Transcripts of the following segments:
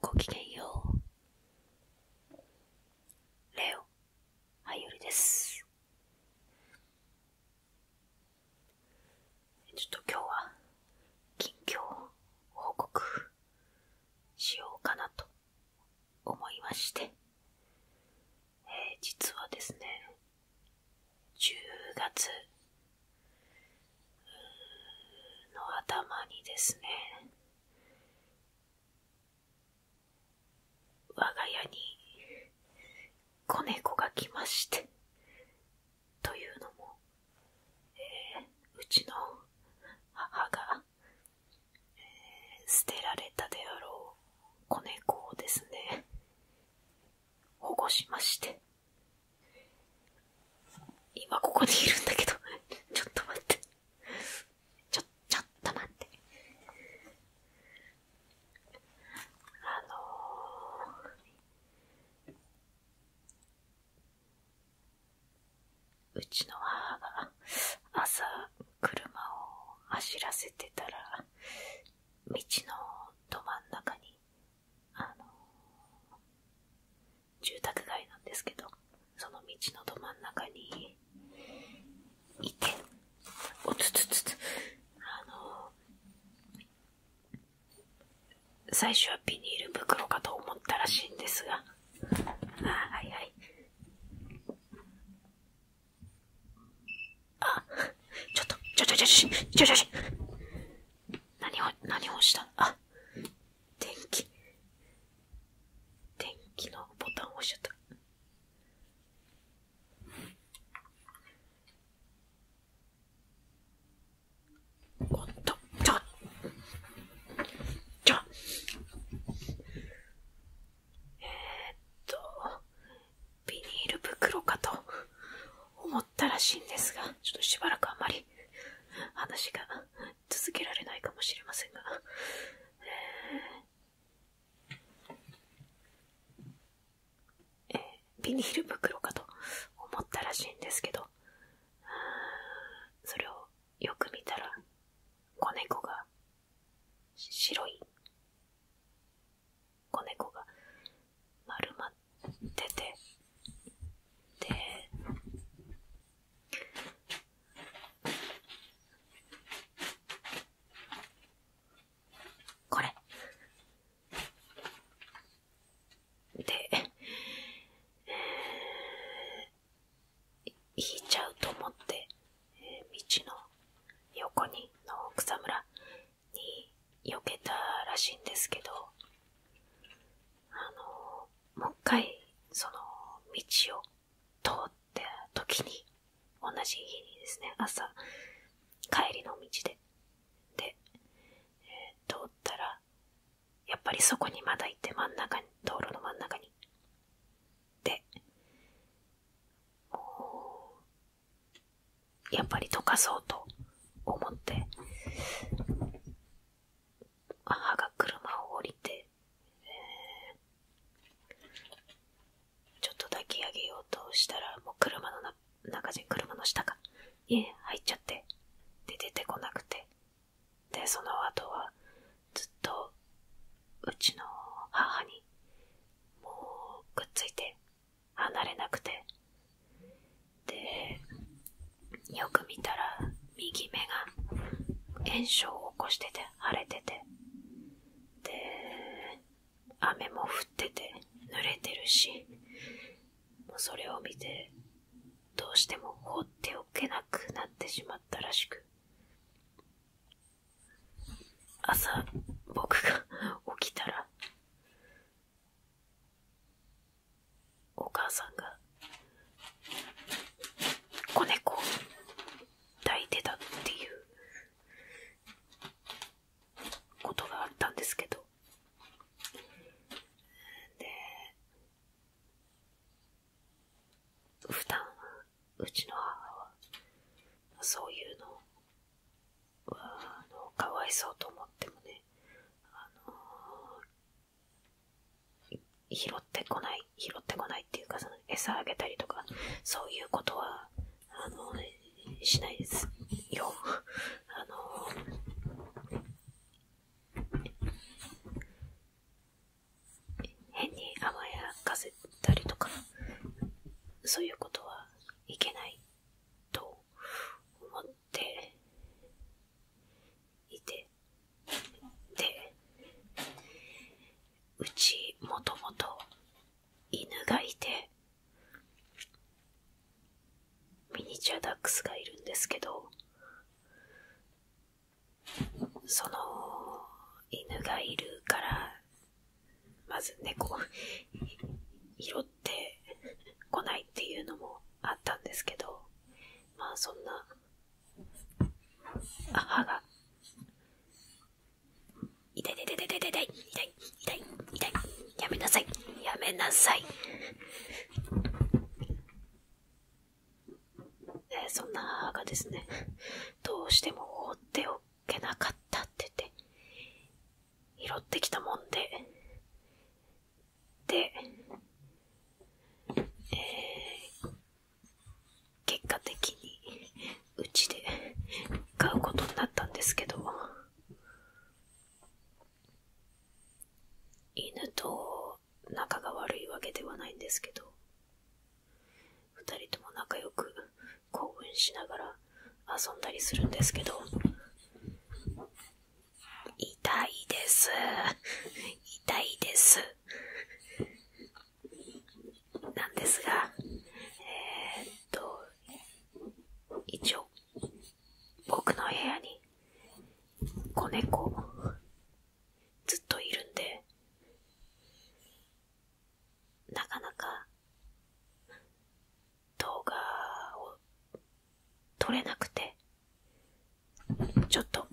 ごきげんよう。レオ、はゆりです。ちょっと今日は、近況報告しようかなと思いまして、え実はですね、10月の頭にですね我が家に子猫が来ましてというのも、えうちの母が、え捨てられたであろう子猫をですね保護しまして。今ここにいるんだけど、ちょっと待って。ちょ、ちょっと待って。あのうちの母が朝車を走らせてたら、道のど真ん中にあの住宅街なんですけどその道のど真ん中にいておつつつつあの最初はビニール袋かと思ったらしいんですがあはいはいあ、ちょっと、ちょちょちょちょちょちょちょ。何を、何をしたあ、電気。電気のボタンを押しちゃった。おっと、ちょ、ちょ。えー、っと、ビニール袋かと思ったらしいんですが、ちょっとしばらくあんまり話が続けられないかもしれませんが、えー、ビニール袋かと思ったらしいんですけど、それをよく見たら、子猫が白い子猫が丸まっててでこれで、えー、引いちゃうと思って、えー、道の横にの草むらに避けたらしいんですけど、あの、もう一回、その、道を通った時に、同じ日にですね、朝、帰りの道で、で、通ったら、やっぱりそこにまだ行って真ん中に、道路の真ん中に。で、もう、やっぱり溶かそうと思って、母が車を降りて、えちょっと抱き上げようとしたら、もう車の中じゃ、車の下か、家入っちゃって、で出てこなくて、で、その後は、ずっと、うちの母に、もう、くっついて、離れなくてでよく見たら右目が炎症を起こしてて腫れててで雨も降ってて濡れてるしもうそれを見てどうしても放っておけなくなってしまったらしく朝僕が起きたらお母さんが子猫を抱いてたっていうことがあったんですけどで普段うちの母はそういうのをあかわいそうと思ってもね、あの拾ってこない、拾ってこないっていうか、その餌あげたりとか、そういうことは、あのしないですよ。あの変に甘やかせたりとか、そういうことはいけないと思っていてでうちもともと犬がいてミニチュアダックスがいるんですけどその犬がいるからまず猫を拾ってこないっていうのもあったんですけど、まあそんな、歯が、痛い痛い痛い痛い痛い痛い痛いやめなさいやめなさいでそんな母がですね、どうしても放っておけなかったって言って、拾ってきたもんで、で、えー、結果的にうちで飼うことになったんですけど、犬と仲が悪いわけではないんですけど、二人とも仲良く興奮しながら遊んだりするんですけど、痛いです。痛いです。なんですが、えっと、一応、僕の部屋に、子猫、ずっといるんで、なかなか動画を撮れなくて、ちょっと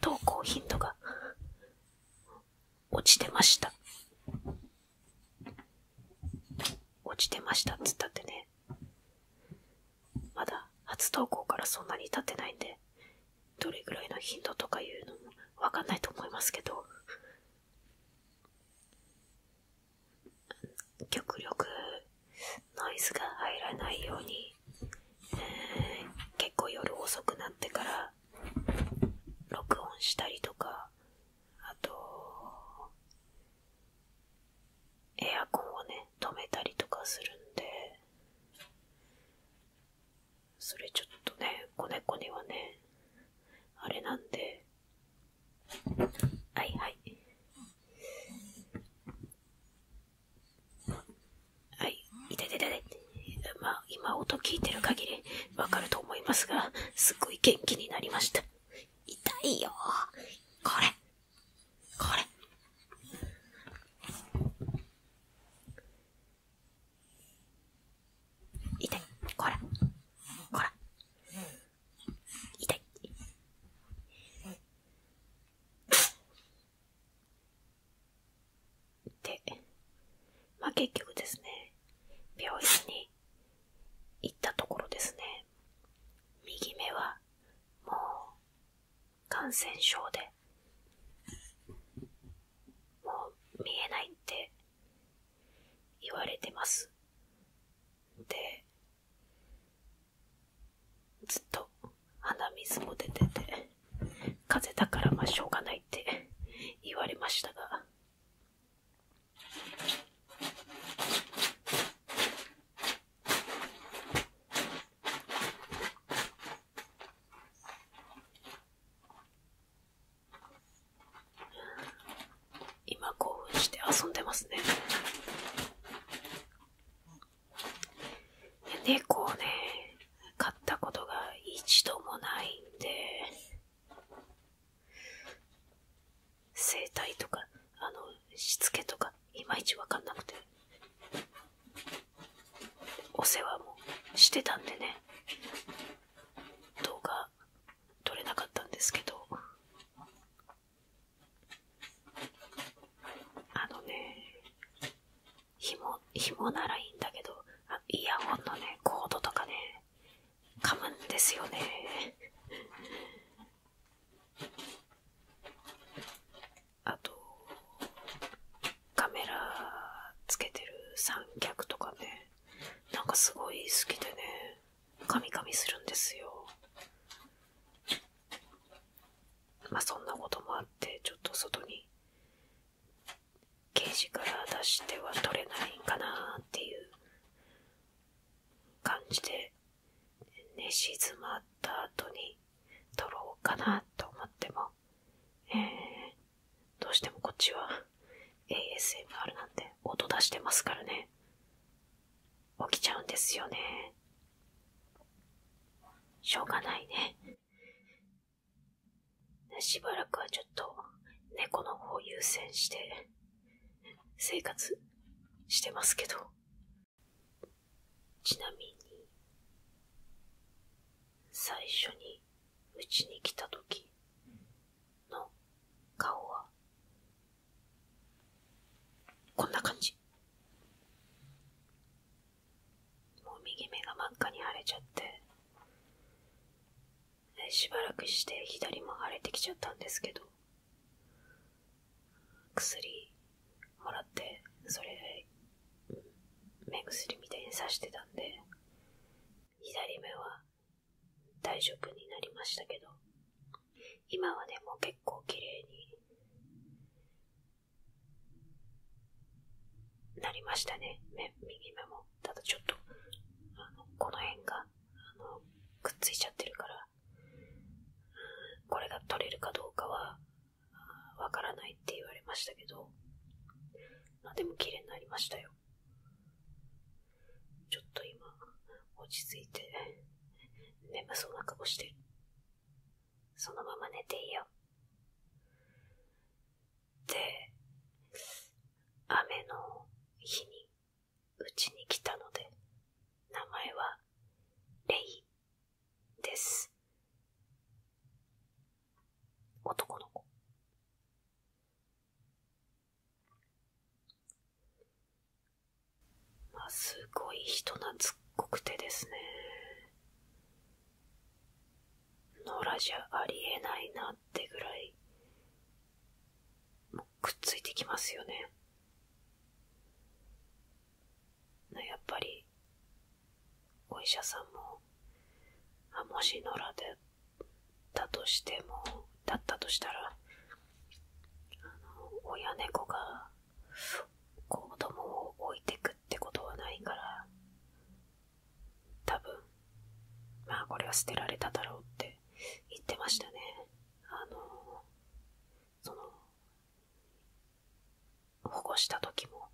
投稿頻度が落ちてました。落ちてましたっつったってね。まだ初投稿からそんなに経ってないんで、どれぐらいの頻度とかいうのもわかんないと思いますけど、極力ノイズが入らないように、え結構夜遅くなってから録音したりとかあとエアコンをね止めたりとかするんでそれちょっとね、子猫にはね、あれなんで。はいはい。はい、痛い痛い痛い。まあ、今音聞いてる限りわかると思いますが、すごい元気になりました。痛いよこれ。これ。痛い。こら。こら。痛い。で、まあ結局ですね、病院に行ったところですね、右目はもう感染症で、もう見えないって言われてます。で、ずっと鼻水も出てて、風邪だからまあしょうがないって言われましたが、今興奮して遊んでますね猫をね買ったことが一度もないんで生態とかあのしつけとかいまいち分かんなくてお世話もしてたんでね動画撮れなかったんですけどあのねひ紐紐ならいいんだけどあイヤホンのねコードとかね噛むんですよねあとカメラつけてる三脚とかねなんかすごい好きでねカミカミするんですよまそんなこともあってちょっと外にケージから出しては取れないんかなっていう感じで寝静まった後に取ろうかなと思ってもどうしてもこっちは ASMR なんて音出してますからね。起きちゃうんですよね。しょうがないね。しばらくはちょっと猫の方優先して生活してますけど。ちなみに、最初にうちに来た時、の顔はこんな感じもう右目が真っ赤に腫れちゃってしばらくして左も腫れてきちゃったんですけど薬もらってそれ目薬みたいにさしてたんで左目は大丈夫になりましたけど、今はね、もう結構綺麗になりましたね。目、右目も。ただちょっと、あの、この辺が、あの、くっついちゃってるから、これが取れるかどうかは、わからないって言われましたけど、までも綺麗になりましたよ。ちょっと今、落ち着いて、眠そうな顔してる。そのまま寝ていいよ。で、雨の日に、うちに来たので、名前は、レイです。男の子。まあ、すごい人懐っこくてですね。野良じゃありえないなってぐらい、もうくっついてきますよね。やっぱり、お医者さんも、あ、もし野良でだとしても、だったとしたら、親猫が子供を置いてくってことはないから、多分、まあこれは捨てられただろうって言ってましたね。その、保護した時も、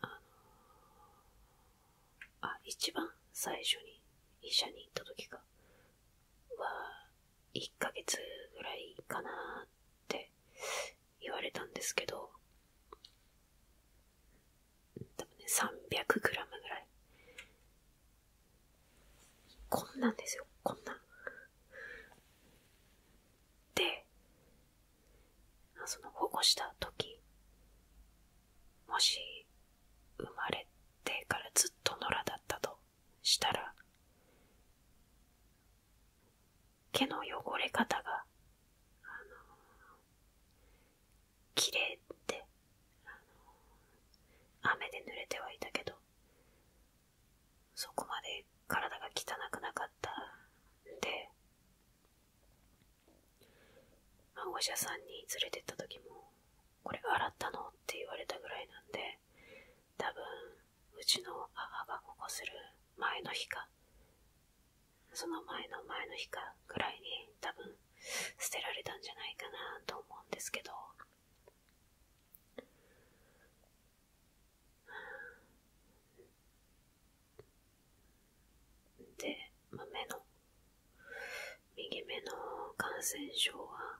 あのあ、一番最初に医者に行った時が、は、1ヶ月ぐらいかなって言われたんですけど、多分ね、300グラムぐらい。こんなんですよ、こんなで、その保護した時もし生まれてからずっと野良だったとしたら毛の汚れ方が、あのー、綺麗っあの雨で濡れてはいたけどそこまで体が汚くなかったんでまあ、お医者さんに連れてった時も「これ洗ったの?」って言われたぐらいなんで多分うちの母がここする前の日かその前の前の日かぐらいに多分捨てられたんじゃないかなと思うんですけどで、ま目の、右目の感染症は、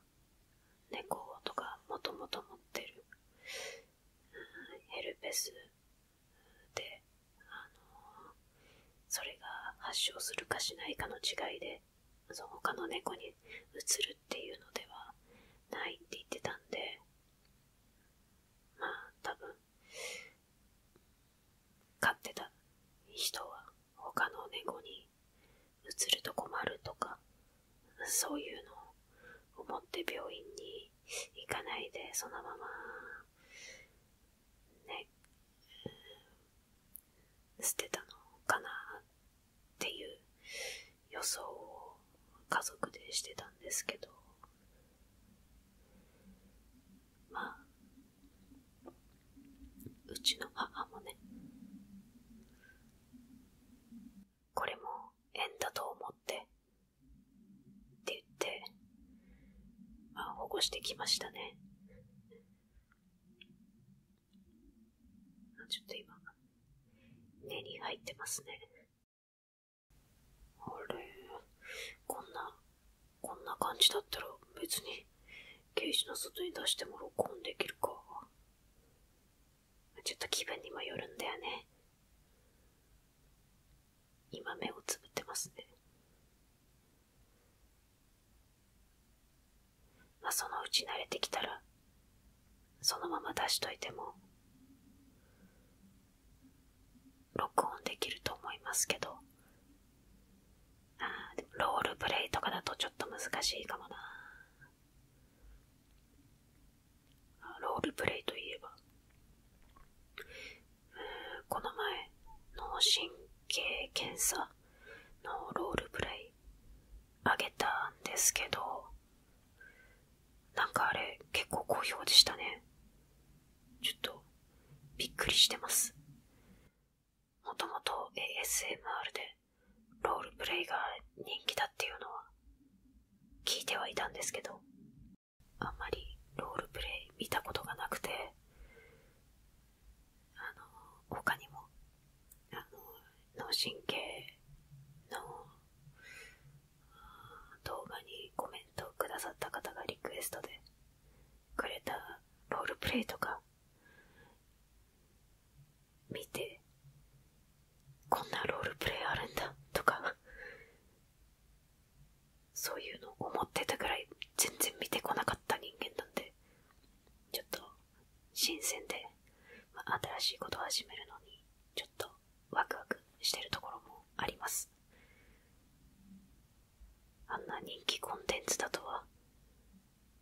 猫とかもともと持ってる、ヘルペスで、それが発症するかしないかの違いで、その他の猫にうつるっていうのではないって言ってたんで、まあ多分、飼ってた人は他の猫にうつると困るとかそういうのを思って病院に行かないでそのままね捨てたのかなっていう予想を家族でしてたんですけどまあうちの母もねこれも縁だと思ってって言ってまあ保護してきましたねちょっと今根に入ってますねあれこんなこんな感じだったら別にケージの外に出しても録音できるか。ちょっと気分にもよるんだよね。今目をつぶってますね。まあそのうち慣れてきたら、そのまま出しといても、録音できると思いますけど、あでロールプレイとかだとちょっと難しいかもな。ロールプレイといえば、うんこの前、脳神経検査のロールプレイあげたんですけど、なんかあれ結構好評でしたね。ちょっと、びっくりしてます。もともと ASMR でロールプレイが人気だっていうのは聞いてはいたんですけど、あんまりロールプレイ見たことがなくて、あの、他にも、脳神経の動画にコメントをくださった方がリクエストで、くれたロールプレイとか見てこんなロールプレイあるんだとかそういうの思ってたぐらい全然見てこなかった人間なんでちょっと新鮮で、まあ、新しいことを始めるのにちょっとワクワクしてるところもありますあんな人気コンテンツだとは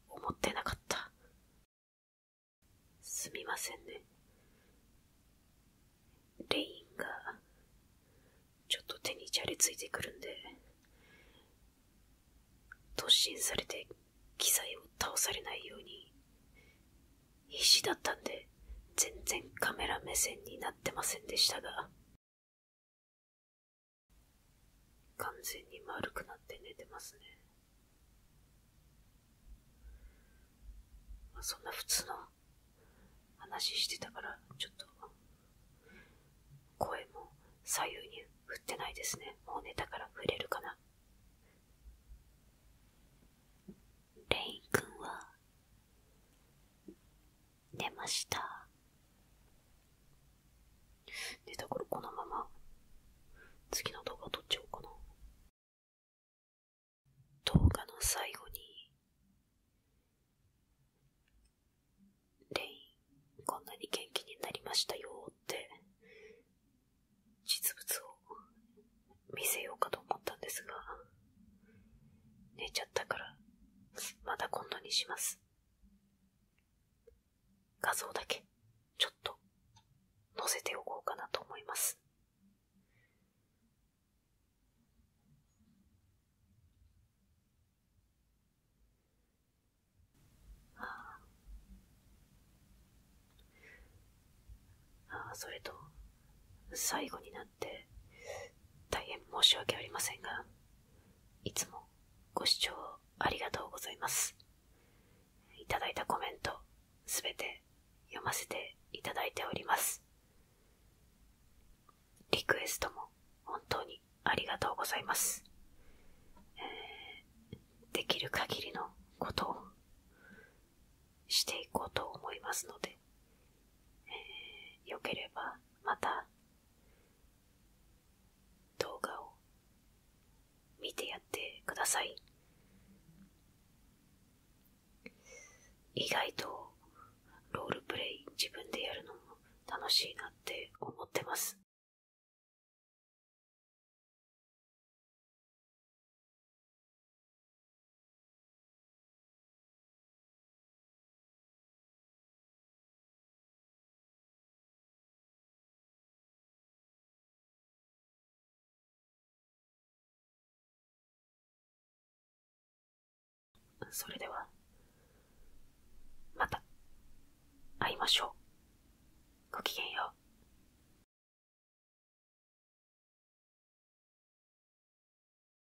思ってなかったすみませんねレインがちょっと手にじゃれついてくるんで突進されて機材を倒されないように必死だったんで全然カメラ目線になってませんでしたが完全に丸くなって寝てますね。そんな普通の話してたから、ちょっと、声も左右に振ってないですね。もう寝たから振れるかな。レイン君は、出ました。で、だからこのまま、次の動画撮っちゃおうかな。動画の最後に、レイン、こんなに元気になりましたよって、実物を見せようかと思ったんですが、寝ちゃったから、またんなにします。画像だけ、ちょっと、載せておこうかなと思います。それと、最後にな、な大変申し訳ありませんがいつもご視聴ありがとうございますいただいたコメントすべて読ませていただいておりますリクエストも本当にありがとうございます、できる限りのことをしていこうと思いますので、えよければまた動画を見てやってください意外とロールプレイ自分でやるのも楽しいなって思ってますそれでは、また、会いましょう。ごきげんよう。